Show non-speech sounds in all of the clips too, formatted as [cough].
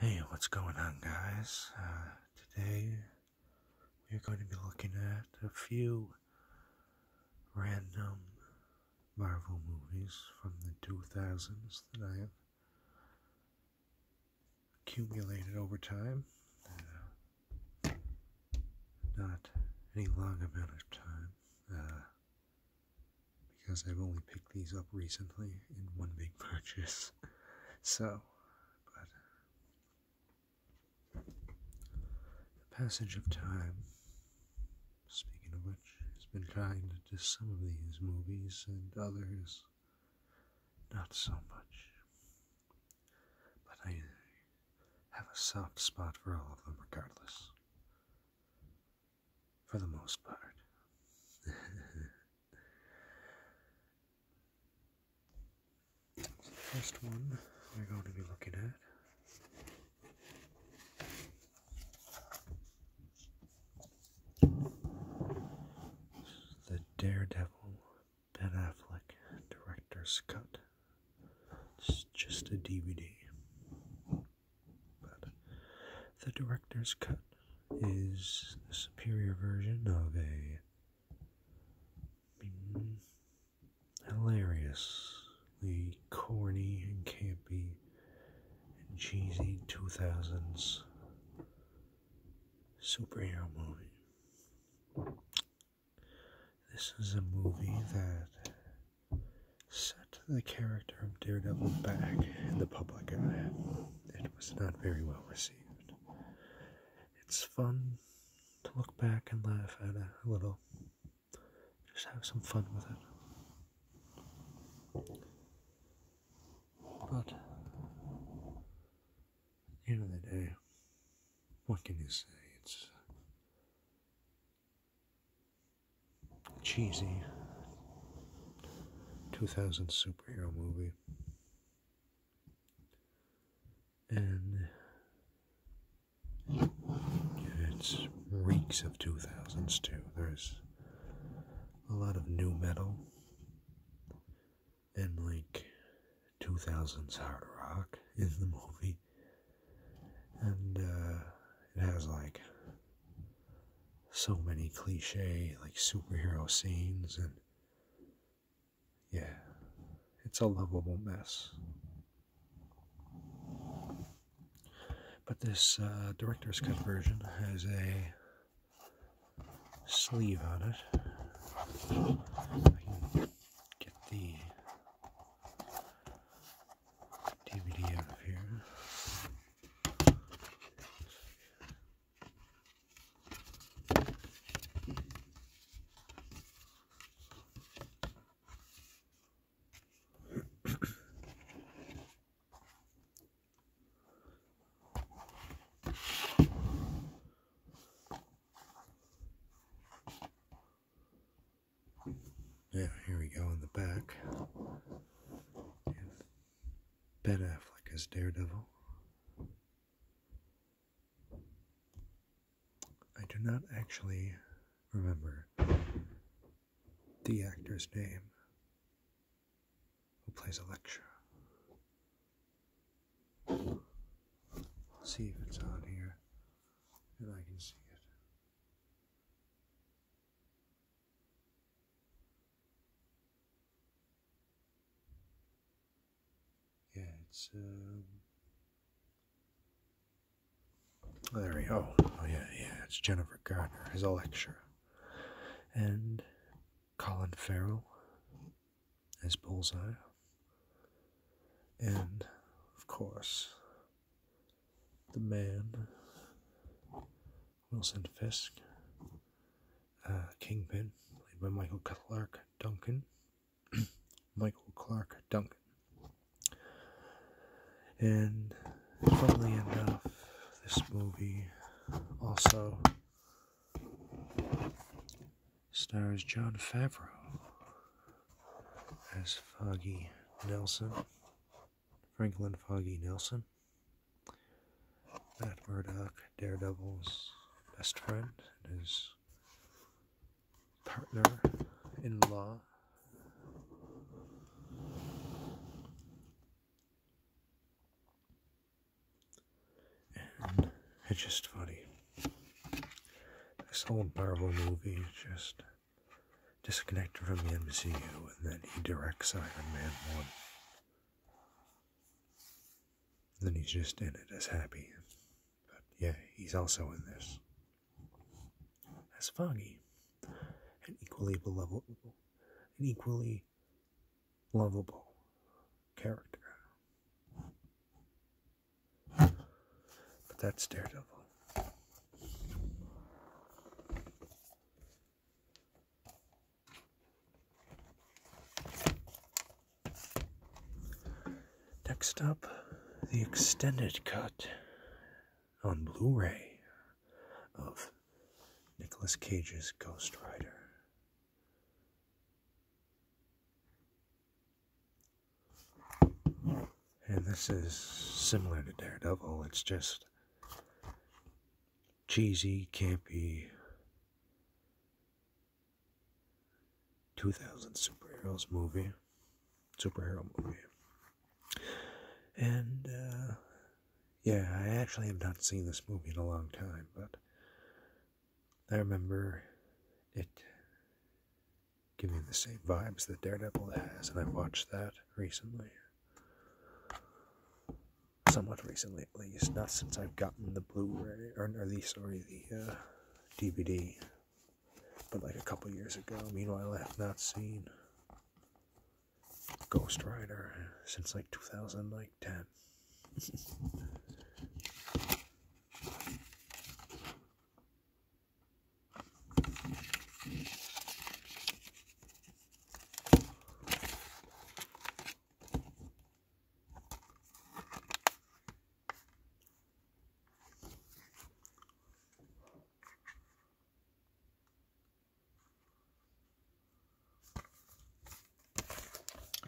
Hey, what's going on, guys? Uh, today we're going to be looking at a few random Marvel movies from the 2000s that I have accumulated over time. Uh, not any long amount of time. Uh, because I've only picked these up recently in one big [laughs] purchase. so, but the passage of time, speaking of which, has been kind to some of these movies and others not so much. But I have a soft spot for all of them, regardless for the most part. the [laughs] first one we're going to be looking at. The Daredevil Ben Affleck Director's Cut. It's just a DVD. But the director's cut is the superior version of a mm, hilariously corny and campy and cheesy 2000s superhero movie. This is a movie that set the character of Daredevil back in the public eye. It was not very well received. It's fun to look back and laugh at a little, just have some fun with it. But at the end of the day, what can you say? It's cheesy 2000 superhero movie. And it reeks of 2000s too. There's a lot of new metal and like 2000s hard rock in the movie. And uh, it has like so many cliche like superhero scenes and yeah, it's a lovable mess. But this uh, director's cut version has a sleeve on it. get the DVD out of here. Yeah, here we go in the back. We have Ben Affleck as Daredevil. I do not actually remember the actor's name who plays Elektra. let see if it's on here and I can see it. Yeah, it's. Um... Oh, there we go. Oh, yeah, yeah. It's Jennifer Gardner as a lecturer. And Colin Farrell as Bullseye. And, of course, the man, Wilson Fisk, uh, Kingpin, played by Michael Clark Duncan. [clears throat] Michael Clark Duncan. And funnily enough, this movie also stars John Favreau as Foggy Nelson. Franklin Foggy Nelson, Matt Murdock, Daredevil's best friend and his partner in law. it's just funny. This whole Marvel movie is just disconnected from the MCU, and then he directs Iron Man 1. then he's just in it as happy. But yeah, he's also in this as Foggy, an equally beloved, an equally lovable character. But that's Daredevil. Next up, the extended cut on Blu ray of Nicolas Cage's Ghost Rider. And this is similar to Daredevil, it's just cheesy, campy 2000 superheroes movie, superhero movie. And uh, yeah, I actually have not seen this movie in a long time, but I remember it giving the same vibes that Daredevil has, and I watched that recently. Somewhat recently, at least, not since I've gotten the Blu-ray or, at least sorry the DVD, uh, but like a couple years ago. Meanwhile, I have not seen Ghost Rider since like two thousand, like ten. [laughs]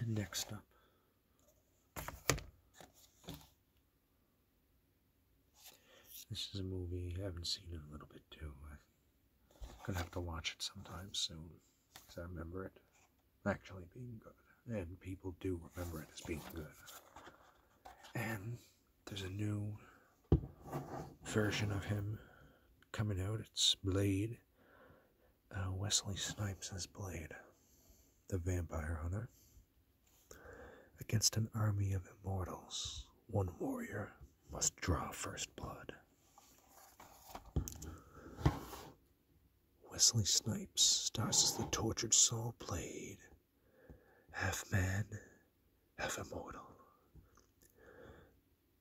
And next up, this is a movie I haven't seen in a little bit too. I'm gonna have to watch it sometime soon because I remember it actually being good, and people do remember it as being good. And there's a new version of him coming out. It's Blade, uh, Wesley Snipes as Blade, the Vampire Hunter. Against an army of immortals, one warrior must draw first blood. Wesley Snipes stars as the tortured soul blade, half man, half immortal.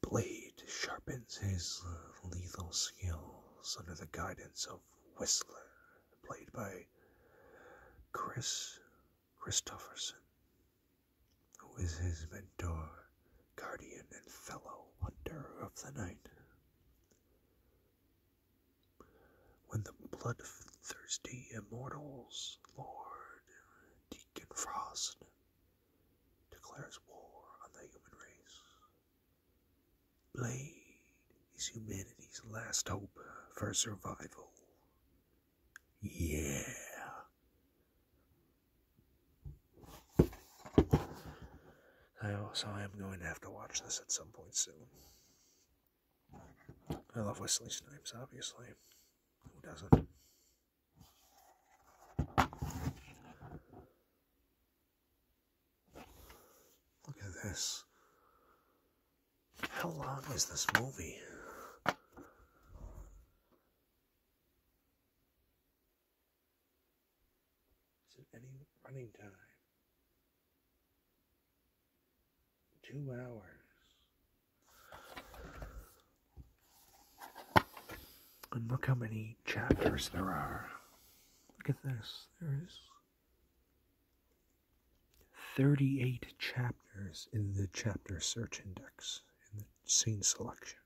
Blade sharpens his lethal skills under the guidance of Whistler, played by Chris Christopherson, who is his mentor, guardian, and fellow hunter of the night. When the bloodthirsty immortals, Lord Deacon Frost, declares war on the human race, Blade is humanity's last hope for survival. Yeah. So I am going to have to watch this at some point soon. I love Wesley Snipes, obviously. Who doesn't? Look at this. How long is this movie? Is it any running time? Two hours. And look how many chapters there are. Look at this. There is 38 chapters in the chapter search index in the scene selection.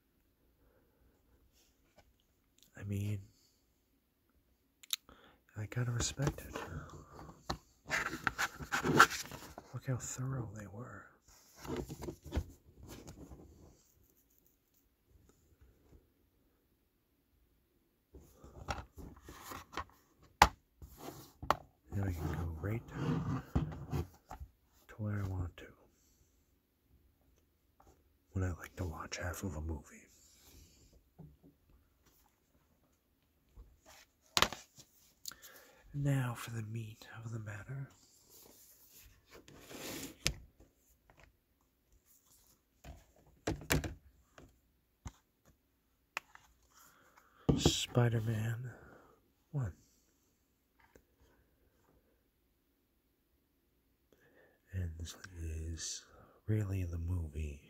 I mean, I gotta respect it. Look how thorough they were. And I can go right to where I want to when I like to watch half of a movie. Now for the meat of the matter. Spider Man 1. And this is really the movie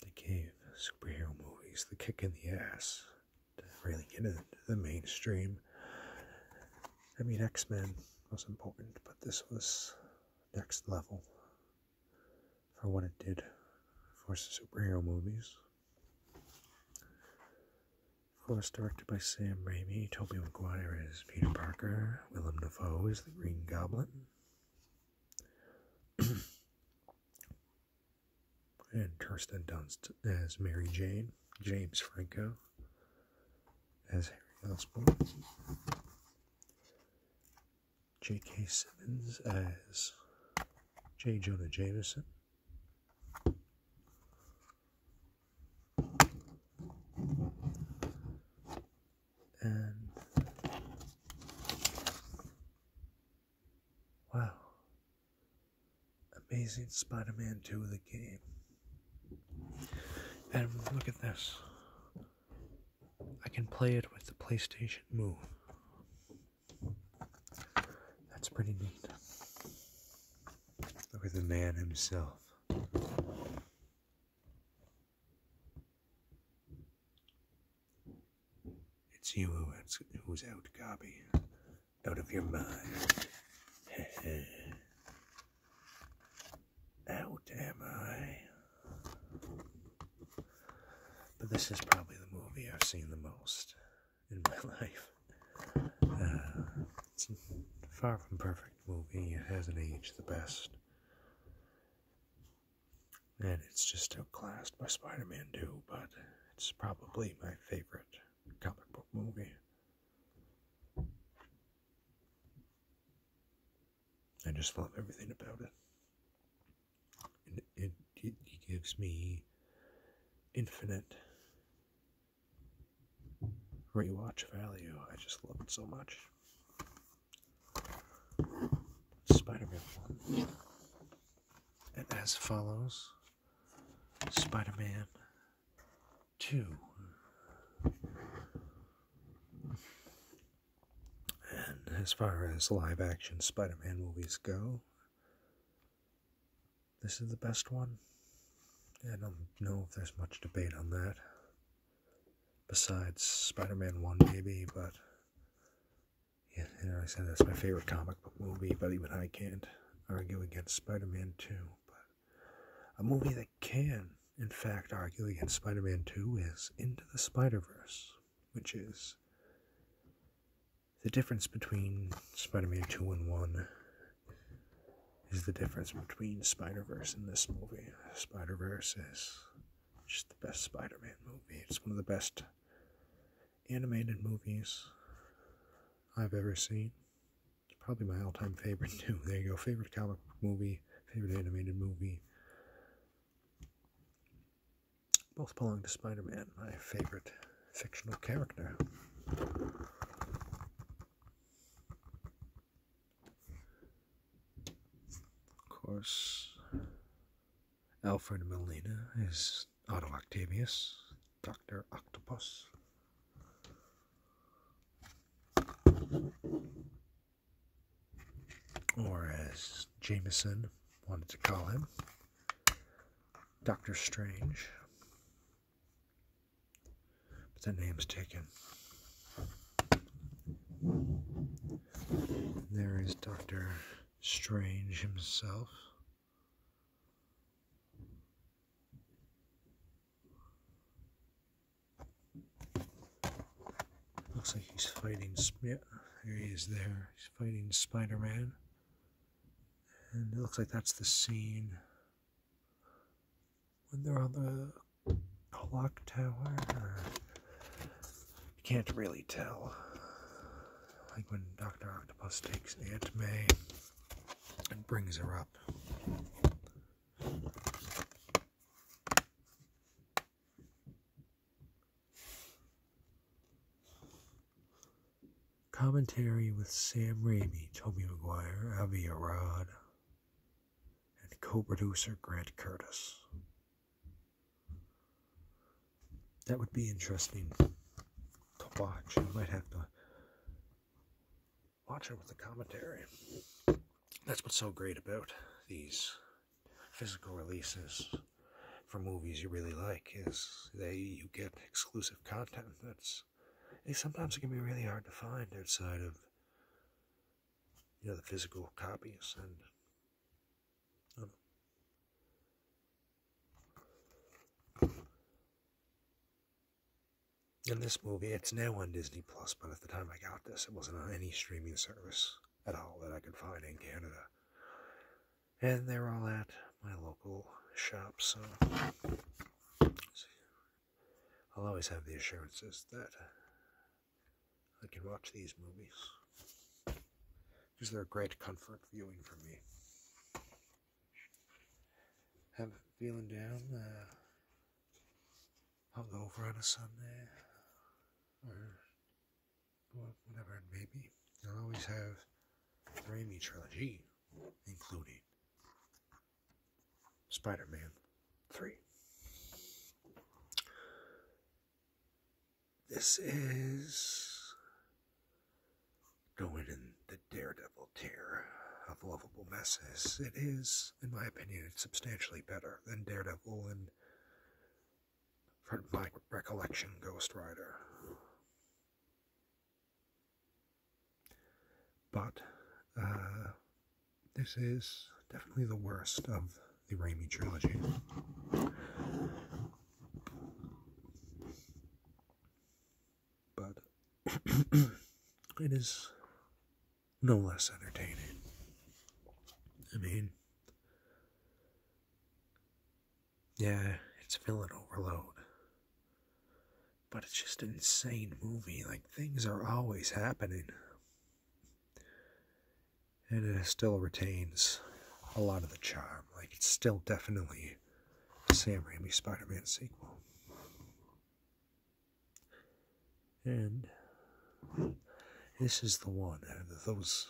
that gave superhero movies the kick in the ass to really get into the mainstream. I mean, X Men was important, but this was next level for what it did for superhero movies. Of course, directed by Sam Raimi, Tobey Maguire is Peter Parker, Willem Dafoe is the Green Goblin. [clears throat] and Kirsten Dunst as Mary Jane, James Franco, as Harry Osborn, J.K. Simmons as J. Jonah Jameson, and wow, Amazing Spider Man 2 of the game. And look at this. I can play it with the PlayStation Move. That's pretty neat. Look at the man himself. It's you who's out, Gabi. Out of your mind. [laughs] out am I? But this is probably the movie I've seen the most in my [laughs] life. Uh, it's far from perfect movie. It hasn't aged the best. And it's just outclassed by Spider Man 2, but it's probably my favorite comic book movie. I just love everything about it. It, it, gives me infinite rewatch value. I just love it so much. Spider Man 1. And as follows. Spider Man 2. And as far as live action Spider Man movies go, this is the best one. I don't know if there's much debate on that. Besides Spider Man 1, maybe, but. Yeah, I said that's my favorite comic book movie, but even I can't argue against Spider Man 2. But a movie that can, in fact, argue against Spider Man 2 is Into the Spider Verse, which is the difference between Spider Man 2 and 1 is the difference between Spider Verse and this movie. Spider Verse is just the best Spider Man movie. It's one of the best animated movies I've ever seen probably my all-time favorite [laughs] too. There you go. Favorite comic movie, favorite animated movie. Both belong to Spider-Man, my favorite fictional character. Of course, Alfred Molina is is Otto Octavius, Dr. Octopus. Or as Jameson wanted to call him, Doctor Strange. But the name's taken. There is Doctor Strange himself. Looks like he's fighting, yeah, there he is there. He's fighting Spider-Man. And it looks like that's the scene when they're on the clock tower. You can't really tell. Like when Dr. Octopus takes Aunt May and brings her up. Commentary with Sam Raimi, Toby Maguire, Avi Arad, and co-producer Grant Curtis. That would be interesting to watch. I might have to watch it with the commentary. That's what's so great about these physical releases for movies you really like is they you get exclusive content that's sometimes can be really hard to find outside of you know the physical copies and um, in this movie, it's now on Disney Plus, but at the time I got this, it wasn't on any streaming service at all that I could find in Canada. And they're all at my local shop, so I'll always have the assurances that I can watch these movies because they're a great comfort viewing for me have it feeling down, uh, I'll go over on a Sunday or whatever it may be. I'll always have the Raimi trilogy, including Spider Man 3. This is going in the Daredevil tier of lovable messes. It is, in my opinion, substantially better than Daredevil and, from my recollection, Ghost Rider. But uh, this is definitely the worst of the Raimi trilogy but [clears throat] it is no less entertaining. I mean, yeah, it's villain overload, but it's just insane movie. Like, things are always happening, and it still retains a lot of the charm. Like, it's still definitely Sam Raimi Spider-Man sequel. And this is the one those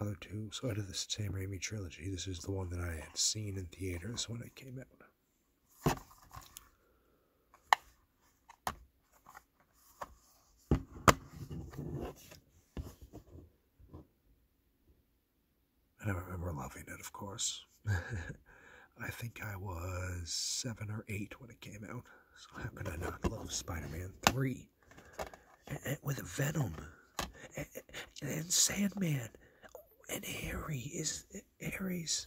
other two. So out of the Sam Raimi trilogy, this is the one that I had seen in theaters when it came out. And I remember loving it, of course. [laughs] I think I was seven or eight when it came out. So how could I not love Spider-Man 3? And, with Venom. And, and Sandman. And Harry is Harry's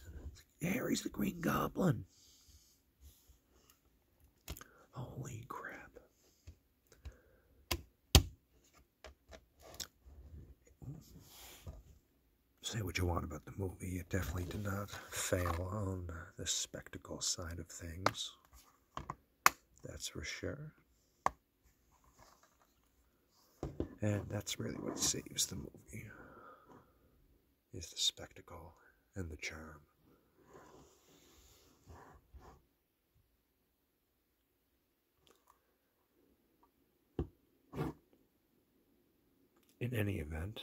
Harry's the Green Goblin. Holy crap. Say what you want about the movie, it definitely did not fail on the spectacle side of things. That's for sure. And that's really what saves the movie is the spectacle and the charm. In any event,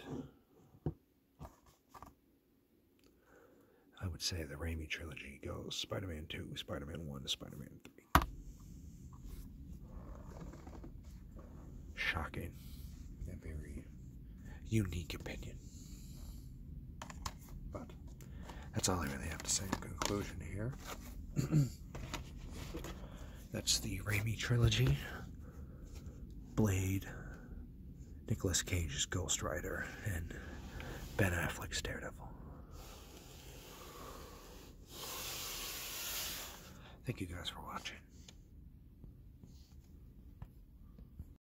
I would say the Raimi trilogy goes Spider Man 2, Spider Man 1, Spider Man 3. Shocking. A very unique opinion. But that's all I really have to say in conclusion here. [clears throat] that's the Rami trilogy, Blade, Nicolas Cage's Ghost Rider, and Ben Affleck's Daredevil. Thank you guys for watching.